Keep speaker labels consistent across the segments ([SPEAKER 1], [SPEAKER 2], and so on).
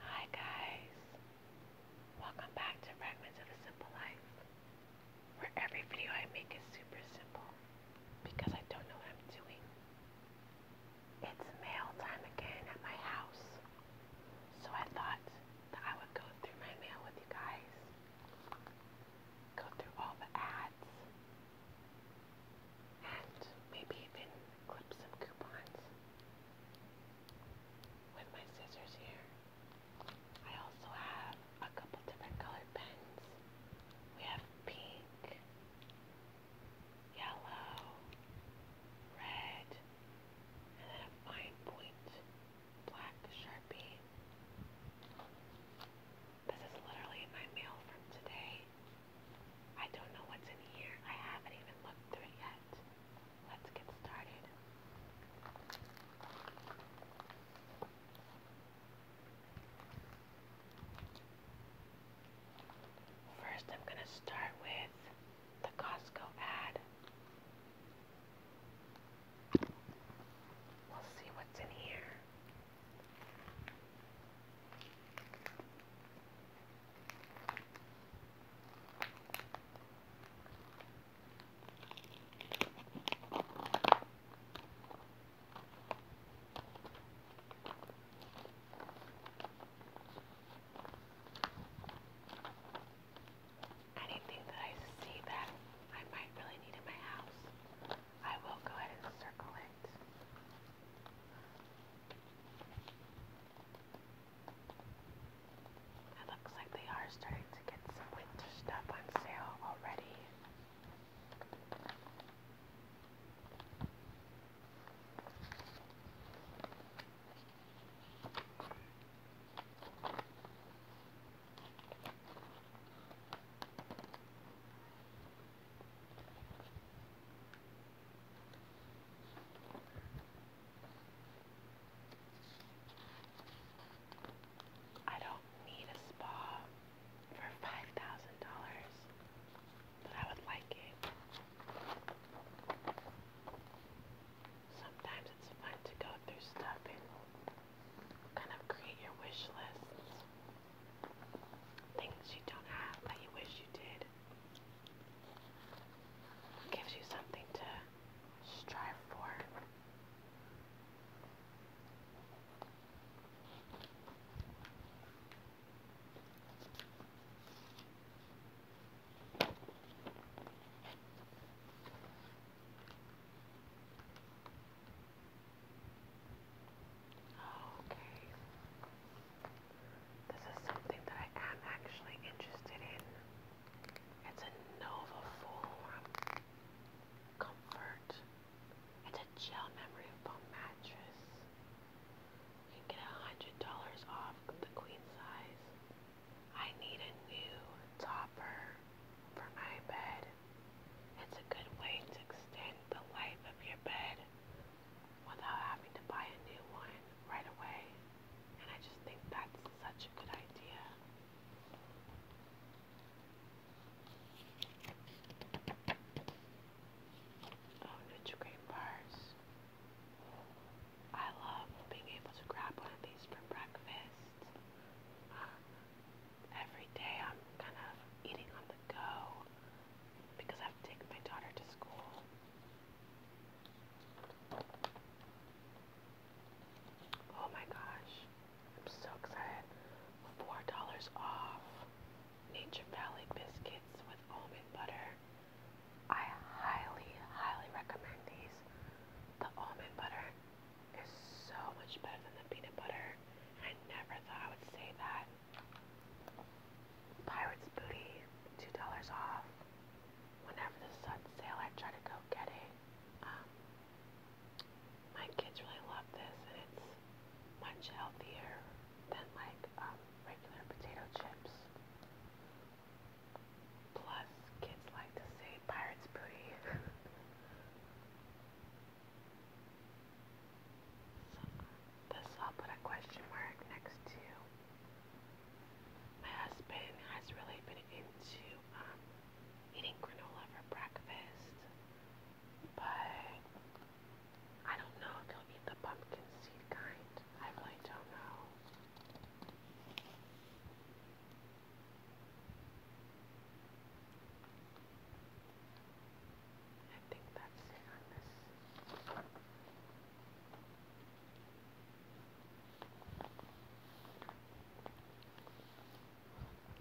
[SPEAKER 1] Hi guys, welcome back to Fragments of a Simple Life, where every video I make is super simple because I don't know what I'm doing. It's mail time again at my house, so I thought that I would go through my mail with you guys, go through all the ads, and maybe even clip some coupons with my scissors here. I also have a couple different colored pens. We have pink, yellow, red, and then a fine point black sharpie. This is literally my mail from today. I don't know what's in here. I haven't even looked through it yet. Let's get started. First, I'm going to start with the Costco ad. We'll see what's in here. Anything that I see that I might really need in my house, I will go ahead and circle it it looks like they are starting to get some winter stuff on sale already. I don't need a spa for $5,000, but I would like it. Sometimes it's fun to go through stuff and kind of create your wish lists. Things you don't have that you wish you did gives you something to strive for. Okay. This is something that I am actually interested in. It's a Nova Comfort. It's a gel memory foam mattress. You can get $100 off the queen size. I need a new topper for my bed. It's a good way to extend the life of your bed without having to buy a new one right away. And I just think that's such a good idea. Oh, nutri bars. I love being able to grab one of these for breakfast. every day I'm kind of eating on the go because I have to take my daughter to school. Oh my gosh, I'm so excited. Four dollars off Nature Valley biscuits with almond butter. I highly, highly recommend these. The almond butter is so much better than the peanut butter. I never thought I would say that. Pirate's Booty, $2 off. Whenever this is sale, I try to go get it. Um, my kids really love this, and it's much healthier than like um, regular potato chips. Plus, kids like to say Pirate's Booty. So, this I'll put a question mark next to. My husband has really been into um, eating granola for breakfast, but I don't know if he'll eat the pumpkin seed kind. I really don't know. I think that's it on this.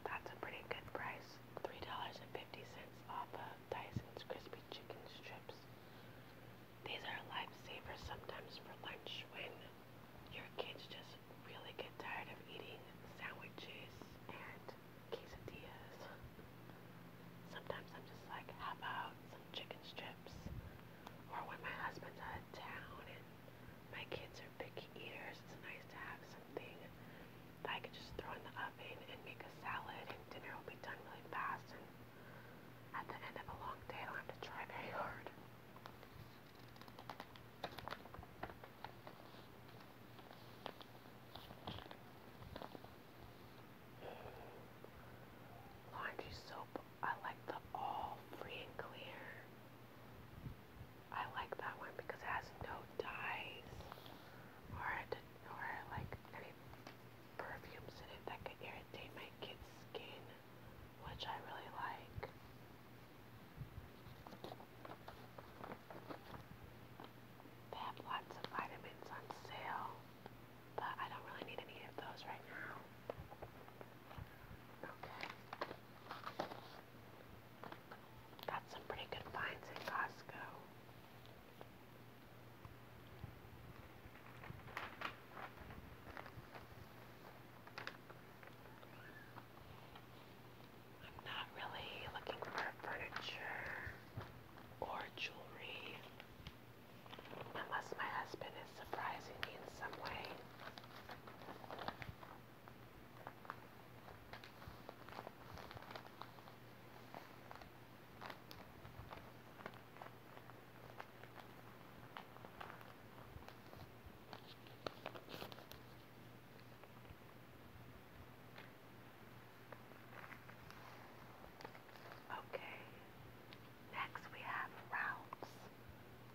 [SPEAKER 1] That's a pretty good price. $3.50 off of Dyson's Crispy Chicken Strips. These are lifesavers sometimes for lunch when your kids just really get tired of eating sandwiches and quesadillas. Sometimes I'm just like, how about some chicken strips? Or when my husband's out of town and my kids are picky eaters, it's nice to have something that I could just throw in the oven and make a salad and dinner will be done really fast and at the end of a long day I don't have to try very hard. Laundry soap, I like the all free and clear. I like that one because it has no dyes or, or like any perfumes in it that could irritate my kids' skin, which I really like. They have lots of vitamins on sale but I don't really need any of those right now. Okay. Got some pretty good finds in Costco. I'm not really looking for furniture or jewelry. Unless my husband is surprising me in some way. Okay, next we have Ralph's.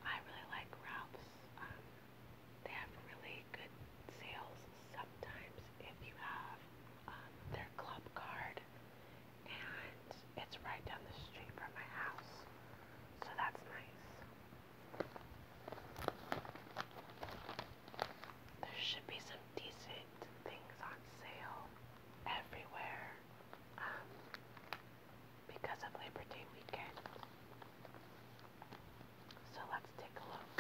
[SPEAKER 1] I really like Ralph's. Um, they have really good sales sometimes if you have um, their club card, and it's right down the street from my house, so that's nice. There should be some decent things on sale everywhere um, because of Labor Day weekend. So let's take a look.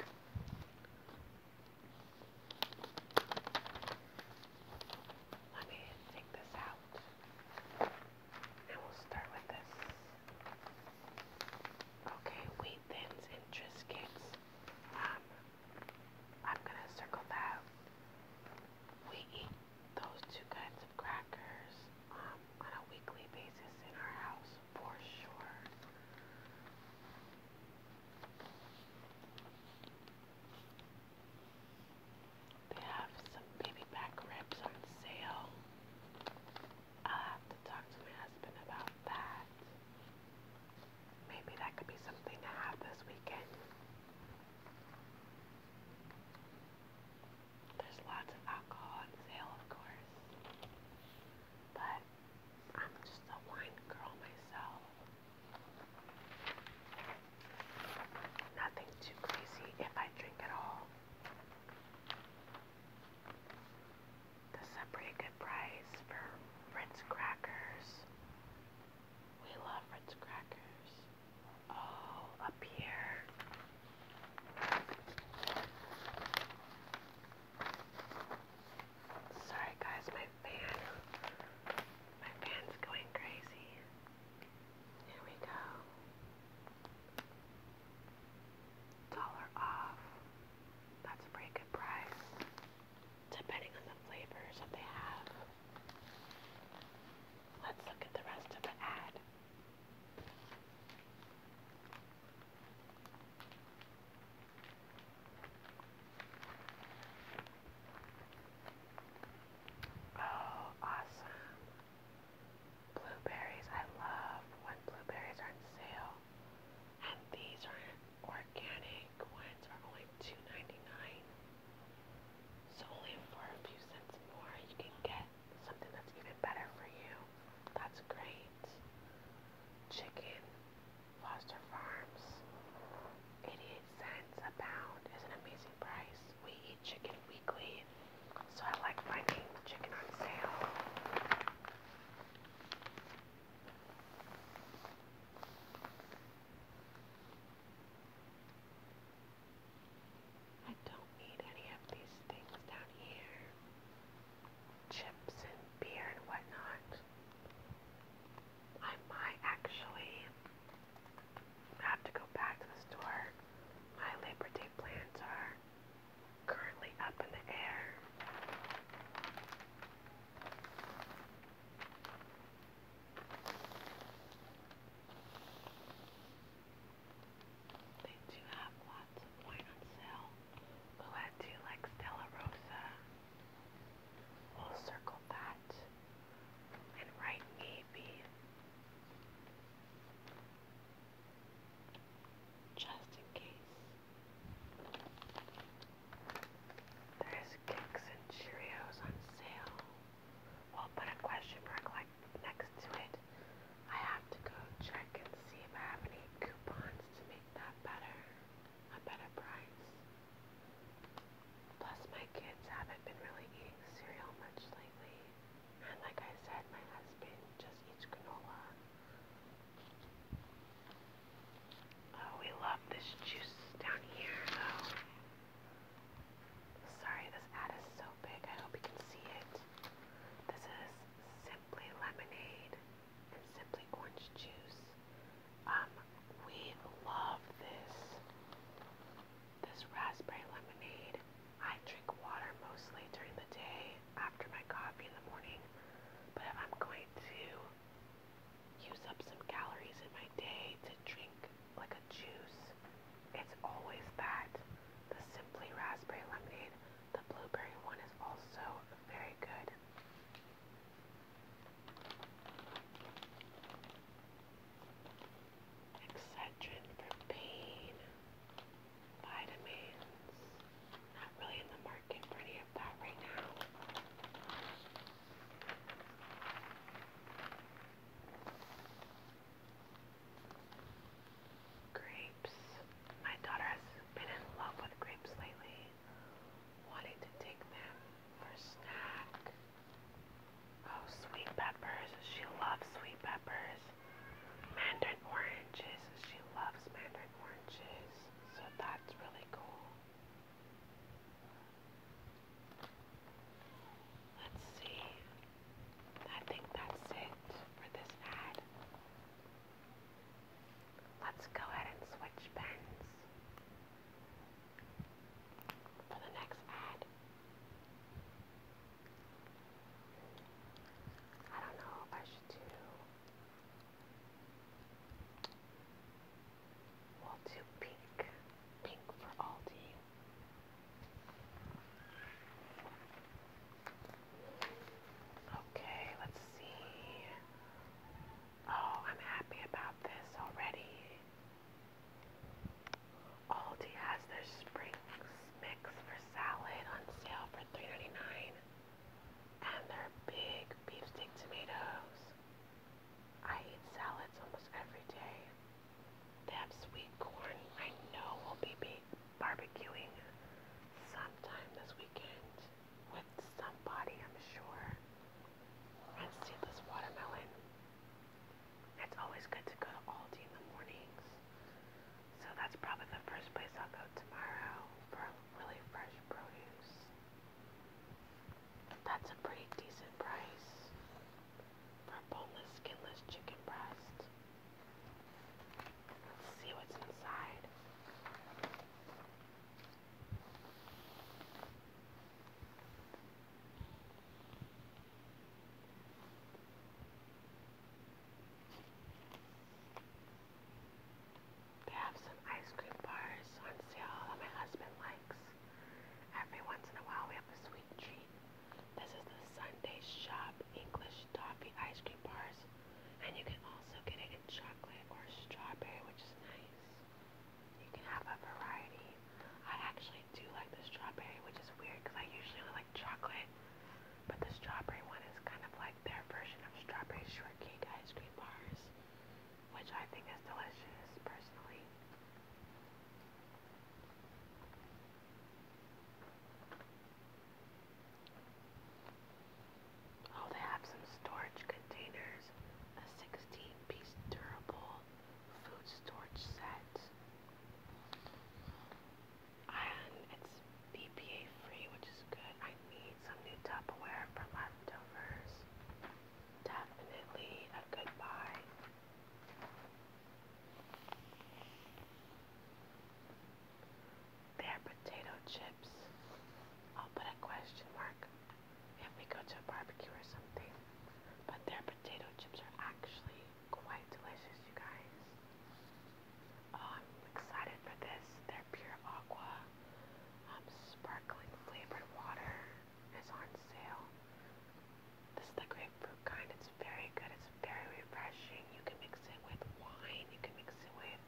[SPEAKER 1] Let me take this out. And we'll start with this. Okay, wheat thins and triscuits. I'm gonna circle that. We eat those two kinds of crackers um, on a weekly basis in our house for sure. They have some baby back ribs on sale. I'll have to talk to my husband about that. Maybe that could be something to have this weekend. There's lots of alcohol on sale, of course. But I'm just a wine girl myself. Nothing too crazy if I drink at all. This is a pretty good price for Ritz crackers, we love Ritz crackers. Oh, up here. Sorry guys, my fan. My fan's going crazy. Here we go. Dollar off. That's a pretty good price depending on the flavors that they have. Let's look at the rest of the ad. Oh, awesome. Blueberries. I love when blueberries are on sale. And these are organic ones are only 2 So only for a few cents more you can get something that's even better for you. That's great. Chicken, Foster Farms, 88 cents a pound is an amazing price. We eat chicken weekly, so I like finding chicken on sale. I don't need any of these things down here. Chips and beer and whatnot. I might actually have to go back to the store. My Labor Day plans are currently up in the air. They do have lots of wine on sale. Blue do like Stella Rosa. We'll circle that and write maybe. Just in case. There's kicks and Cheerios on sale. We'll put a question mark like next to it. I have to go check and see if I have any coupons to make that better, a better price. Plus my kids haven't been really eating cereal much lately. And like I said, my husband just eats granola. Oh, we love this juice down here, though. Sorry, this ad is so big. I hope you can see it. This is simply lemonade and simply orange juice. Um, we love this. This raspberry lemonade. I drink water mostly during the day after my coffee in the morning, but I'm going to use up some calories in my day to drink like a juice. It's always that. The Simply Raspberry Lemonade, the blueberry one is also very good. Excedrin for pain. Vitamins. Not really in the market for any Grapes. My daughter has been in love with grapes lately, wanting to take them for snack. Oh, sweet peppers. She loves sweet peppers. Mandarin oranges. She loves mandarin oranges. So that's really cool. Let's see. I think that's it for this ad. Let's go ahead and switch pens for the next ad. I don't know if I should do We'll do pink. Pink for Aldi. Okay, let's see. Oh, I'm happy about this already. Aldi has their spring mix for salad on sale for 3 And their big beefsteak tomatoes I eat salads almost every day. They have sweet corn. I know we'll be barbecuing sometime this weekend with somebody, I'm sure. And seedless watermelon. It's always good to go to Aldi in the mornings. So that's probably the first place I'll go tomorrow for really fresh produce. That's a pretty decent price for boneless, skinless chicken breast. Let's see what's inside. They have some ice cream bars on sale that my husband likes. Every once in a while we have a sweet treat. This is the Sunday Shop English Toffee Ice Cream Bars. And you can also get it in chocolate or strawberry, which is nice. You can have a variety. I actually do like the strawberry, which is weird because I usually like chocolate. But the strawberry one is kind of like their version of strawberry shortcake ice cream bars which I think is delicious personally. Oh, they have some storage containers, a 16 piece durable food storage set, and it's BPA free, which is good. I need some new Tupperware for leftovers definitely a good buy. Their potato chips. I'll put a question mark if we go to a barbecue or something. But their potato chips are actually quite delicious, you guys. Oh, I'm excited for this pure aqua um, sparkling flavored water is on sale. This is the grapefruit kind. It's very good. It's very refreshing. You can mix it with wine. You can mix it with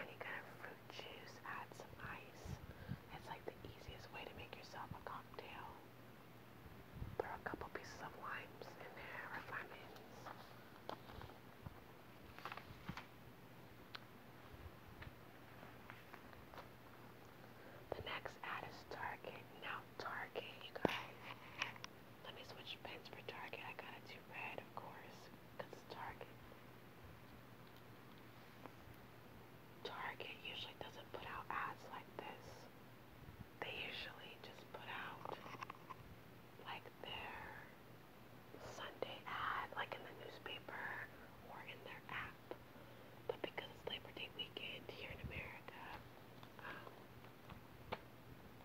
[SPEAKER 1] any kind of fruit juice. Add some ice. It's like the easiest way to make yourself a cocktail. Throw a couple pieces of limes in there or lemons. The next ad is Target. Now Target, you guys. Let me switch pens for Target. I gotta do red, of course, because it's Target. Target usually doesn't put out ads like this. They usually just put out like their Sunday ad, like in the newspaper or in their app. But because it's Labor Day weekend here in America, um,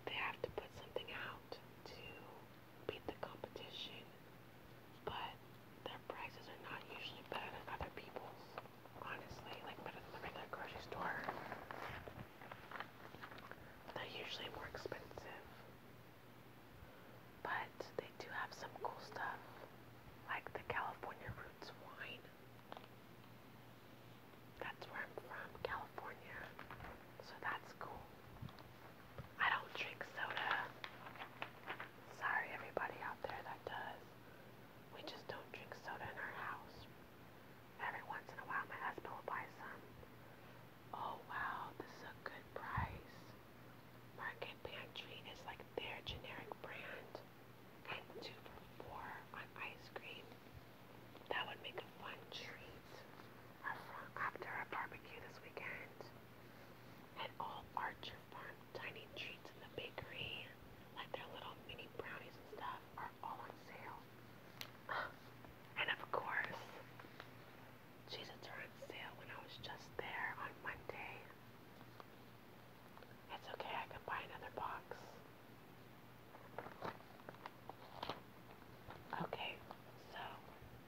[SPEAKER 1] they have to put something out to beat the competition. But their prices are not usually better than other people's, honestly, like better than the regular grocery store. They're usually more expensive. But they do have some cool stuff, like the California Roots wine. That's where I'm from, California. So that's cool. I don't drink soda. Sorry, everybody out there that does. We just don't drink soda in our house. Every once in a while, my husband will buy some. Oh wow, this is a good price. Market Pantry is like their generic brand. And two for four on ice cream. That would make a fun treat after a barbecue this weekend. And all Archer Farm tiny treats in the bakery, like their little mini brownies and stuff, are all on sale. And of course, Cheez-Its are sale when I was just there on Monday. It's okay, I can buy another box. Okay, so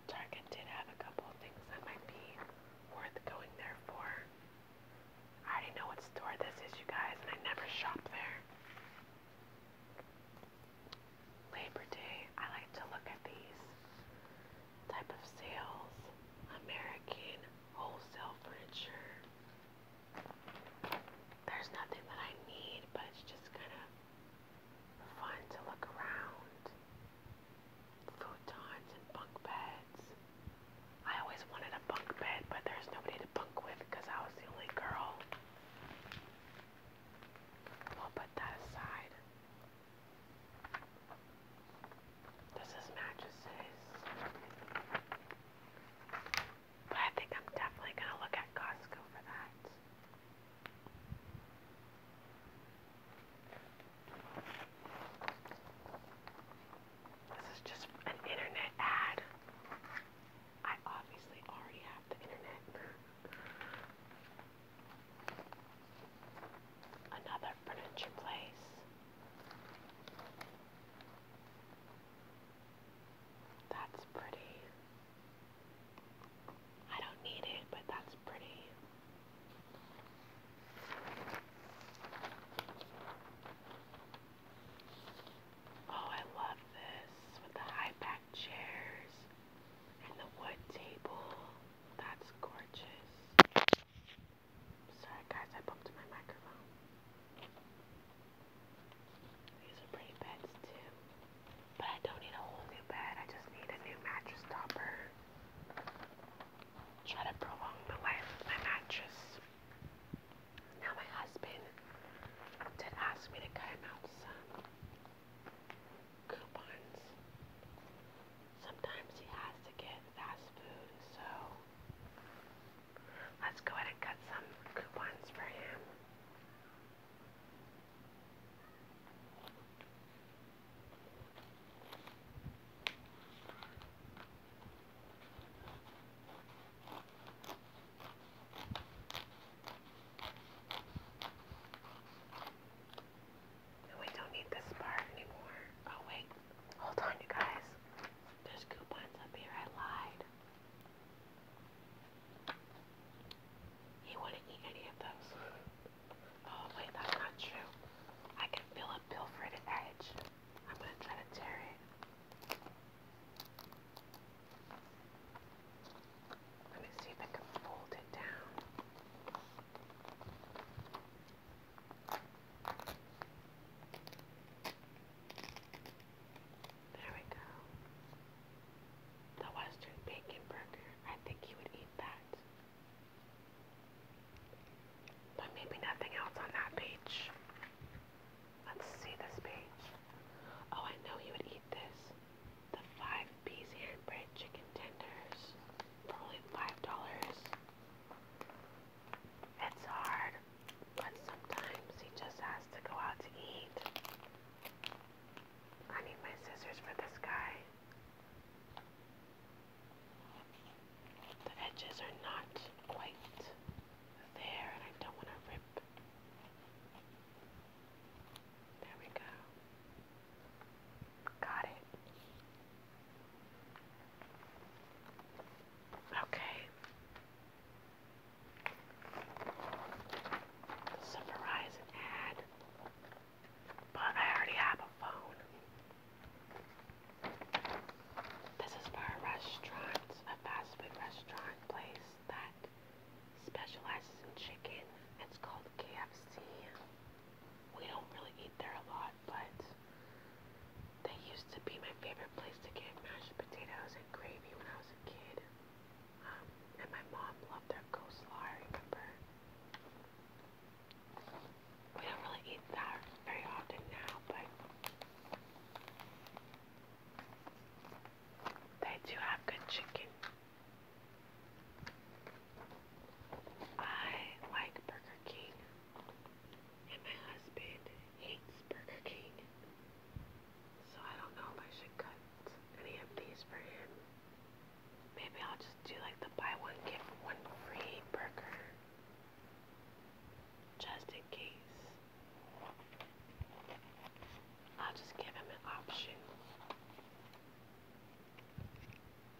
[SPEAKER 1] Target did have a couple things that might be worth going there for. I already know what store this is, you guys, and I never shop there. Labor Day, I like to look at these type of sales, American wholesale furniture. There's nothing that I need, but it's just kind of fun to look around. Futons and bunk beds. I always wanted a bunk bed, but there's nobody to bunk with because I was the only girl. We'll put that aside. This is mattresses. I think I'm definitely going to look at Costco for that. This is just an internet ad. I obviously already have the internet. Another furniture place. That's pretty. I don't need it, but that's pretty. Oh, I love this with the high back chairs and the wood table. That's gorgeous. Sorry guys, I bumped my microphone. These are pretty beds too. But I don't need a whole new bed, I just need a new mattress topper. Try to prolong the life of my mattress. Now my husband did ask me to cut him out some coupons sometimes he has to get fast food, so let's go ahead and cut some coupons for him we don't need this part anymore. Oh wait, hold on you guys. There's coupons up here, I lied. He wouldn't eat any of those. Oh wait, that's not true. I can feel a bill edge. I'm gonna try to tear it. Let me see if I can fold it down. There we go. The Western Bacon Burger. I think he would eat that. But maybe nothing else on that page. Let's see this page. Oh, I know he would eat this. The five piece handbread chicken tenders probably five dollars. It's hard, but sometimes he just has to go out to eat. I need my scissors for this guy. The edges are not quite there, and I don't want to rip. There we go. Got it. Okay. Verizon ad, but I already have a phone. This is for a restaurant, a fast food restaurant place that specializes in chicken. It's called KFC we don't really eat there a lot, but they used to be my favorite place to get mashed potatoes and gravy when I was a kid. Um, and my mom loved their coleslaw, I remember. We don't really eat that very often now, but they do have good chicken. I like Burger King, and my husband hates Burger King, so I don't know if I should cut any of these for him. Maybe I'll just do like the buy one, get one free burger, just in case. I'll just give him an option. Okay.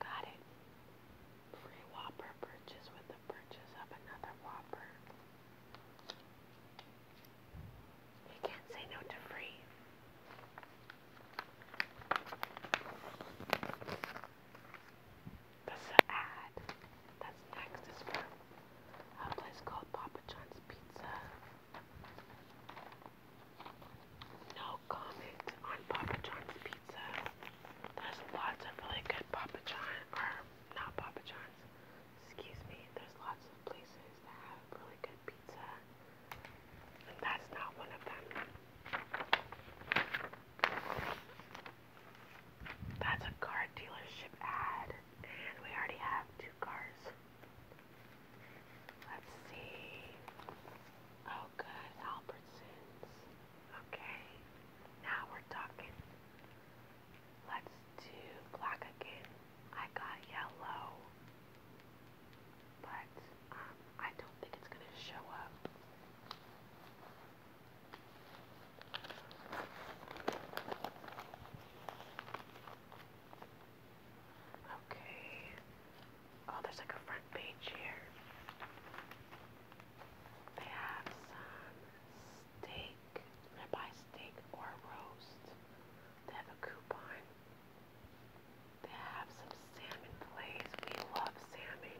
[SPEAKER 1] Got it. Free Whopper purchase with the purchase of another Whopper. You can't say no to free. This is ad. That's next is from a place called Papa John's Pizza. No comment on Papa John's Pizza. There's lots of really good Papa John, or not Papa John's, excuse me, there's lots of places that's not one of them. That's a car dealership ad, and we already have two cars. Let's see. Oh, good, Albertsons. Okay, now we're talking. Let's do black again. I got yellow but um, I don't think it's going to show up. Okay. Oh, there's like a front page here. They have some steak. I'm buy steak or roast. They have a coupon to have some salmon plays. We love salmon.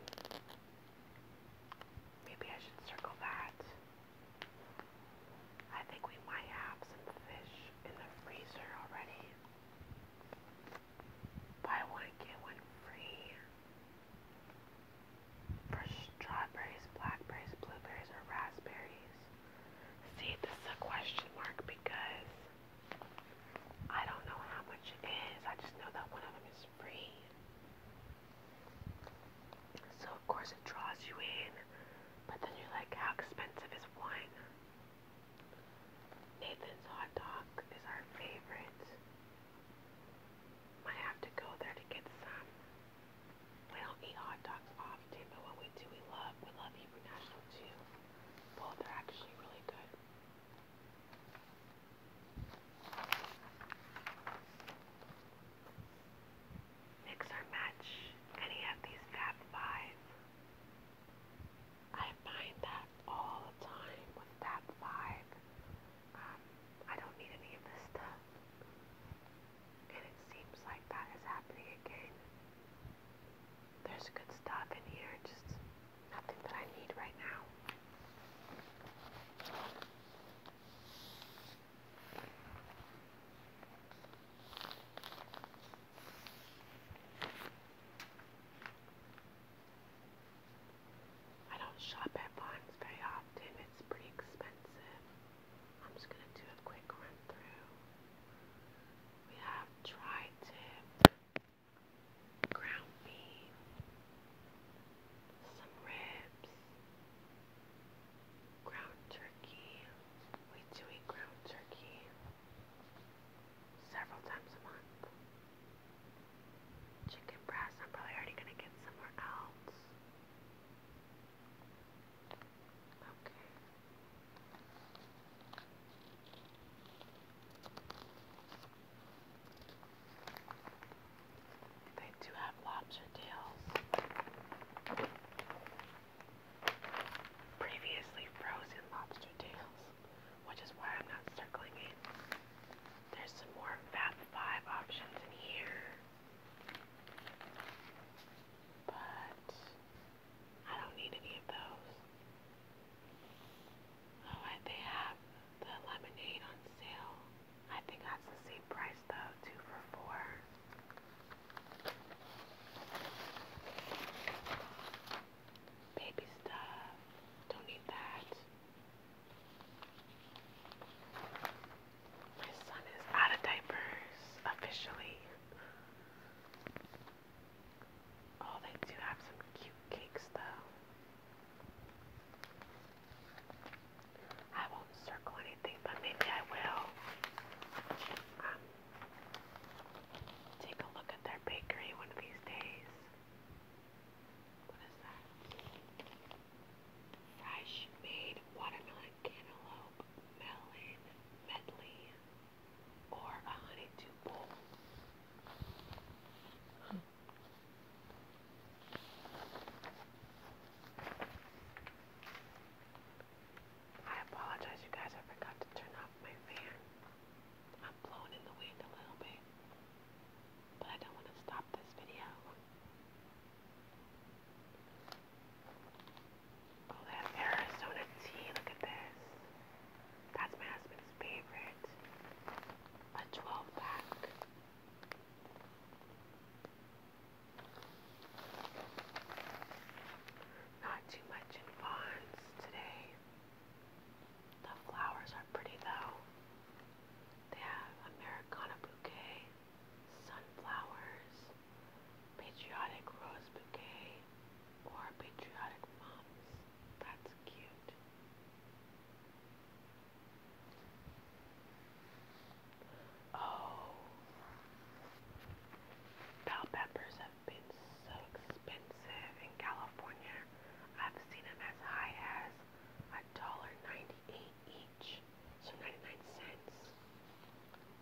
[SPEAKER 1] Maybe I should circle that. I think we might have some fish in the freezer already. Buy one, get one free. For strawberries, blackberries, blueberries, or raspberries. See, this is a question mark because I don't know how much it is. I just know that one of them is free. So, of course, it draws you in, but then you're like, how expensive is one? Nathan's hot dog is our favorite. Might have to go there to get some. We don't eat hot dogs often, but when we do, we love we love Hebrew National too. Well, they are actually really good. Mix or match any of these Fab Five. I find that all the time with Fab Five. Um, I don't need any of this stuff. And it seems like that is happening again. There's good stuff in here, just nothing that I need right now. I don't shop at Bonds very often, it's pretty expensive. I'm just going to do a quick run through. We have tri-tip, ground beef, some ribs, ground turkey. We do eat ground turkey several times a month. Chicken breast, I'm probably already gonna get somewhere else. Okay. They do have lobster tails. Previously frozen lobster tails, which is why I'm not circling it. There's some more Fab Five options in here, but I don't need any of those. Alright, oh, they have the lemonade on sale. I think that's the same price though, two for four. Baby stuff. Don't need that. My son is out of diapers officially. Oh, they do have some cute cakes, though. I won't circle anything, but maybe I will. Um, take a look at their bakery one of these days. What is that? Fresh made watermelon cantaloupe melon medley or a honeydew bowl. I apologize, you guys. I forgot to turn off my fan. I'm blowing in the wind a little bit, but I don't want to stop this video. Oh, that Arizona tea, look at this. That's my husband's favorite. A 12 pack. Not too much in Vons today. The flowers are pretty though. They have Americana bouquet, sunflowers, Patriotic Rose Bouquet or Patriotic moms. That's cute. Oh, bell peppers have been so expensive in California. I've seen them as high as a dollar ninety-eight each, so ninety-nine cents.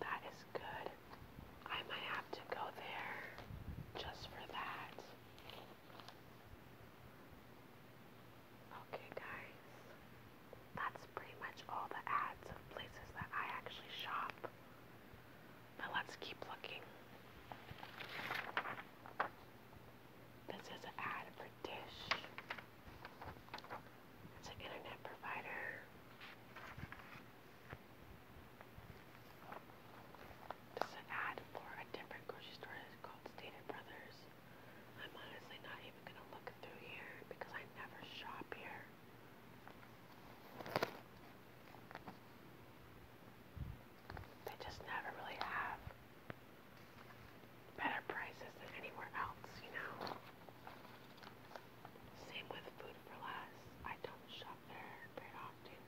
[SPEAKER 1] That is good. I might have to go there just for that. Okay, guys. That's pretty much all the ads of places that I actually shop. But let's keep looking. This is an ad for Dish. It's an internet provider. There's ad for a different grocery store that's called Stater Brothers. I'm honestly not even gonna look through here because I never shop here. They just never really have better prices than anywhere else, you know? Same with Food for Less. I don't shop there very often.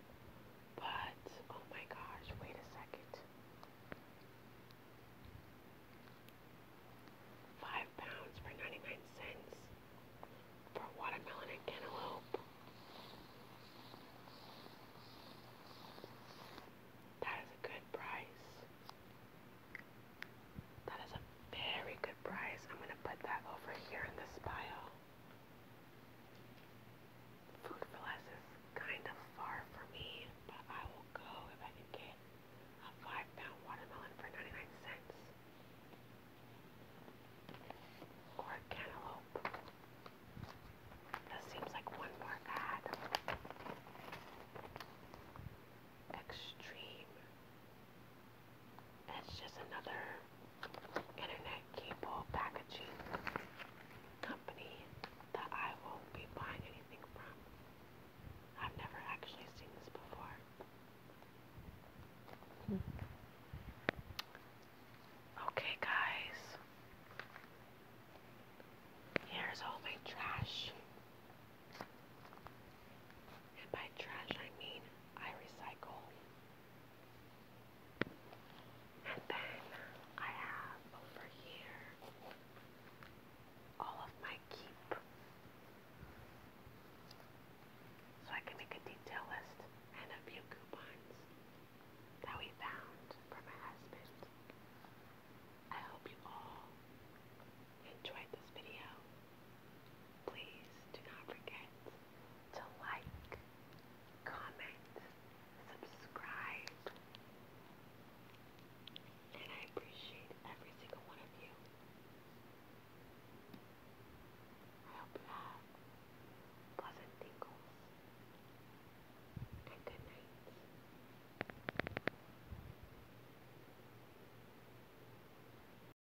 [SPEAKER 1] But, oh my gosh, wait a second. Five pounds for 99 cents for watermelon and cantaloupe. That is a good price. That is a very good price. I'm going to put that over here in the pile. Food is kind of far for me, but I will go if I can get a five pound watermelon for 99 cents. Or a cantaloupe. That seems like one more ad. Extreme it's just another internet cable packaging company that I won't be buying anything from. I've never actually seen this before. Okay, guys. Here's all my trash. And by trash, I mean I recycle. And then I have over here all of my keep. So I can make a detail list and a few coupons that we found for my husband. I hope you all enjoyed this video. Please do not forget to like, comment, subscribe. And I appreciate every single one of you. I hope you have pleasant tingles and good night.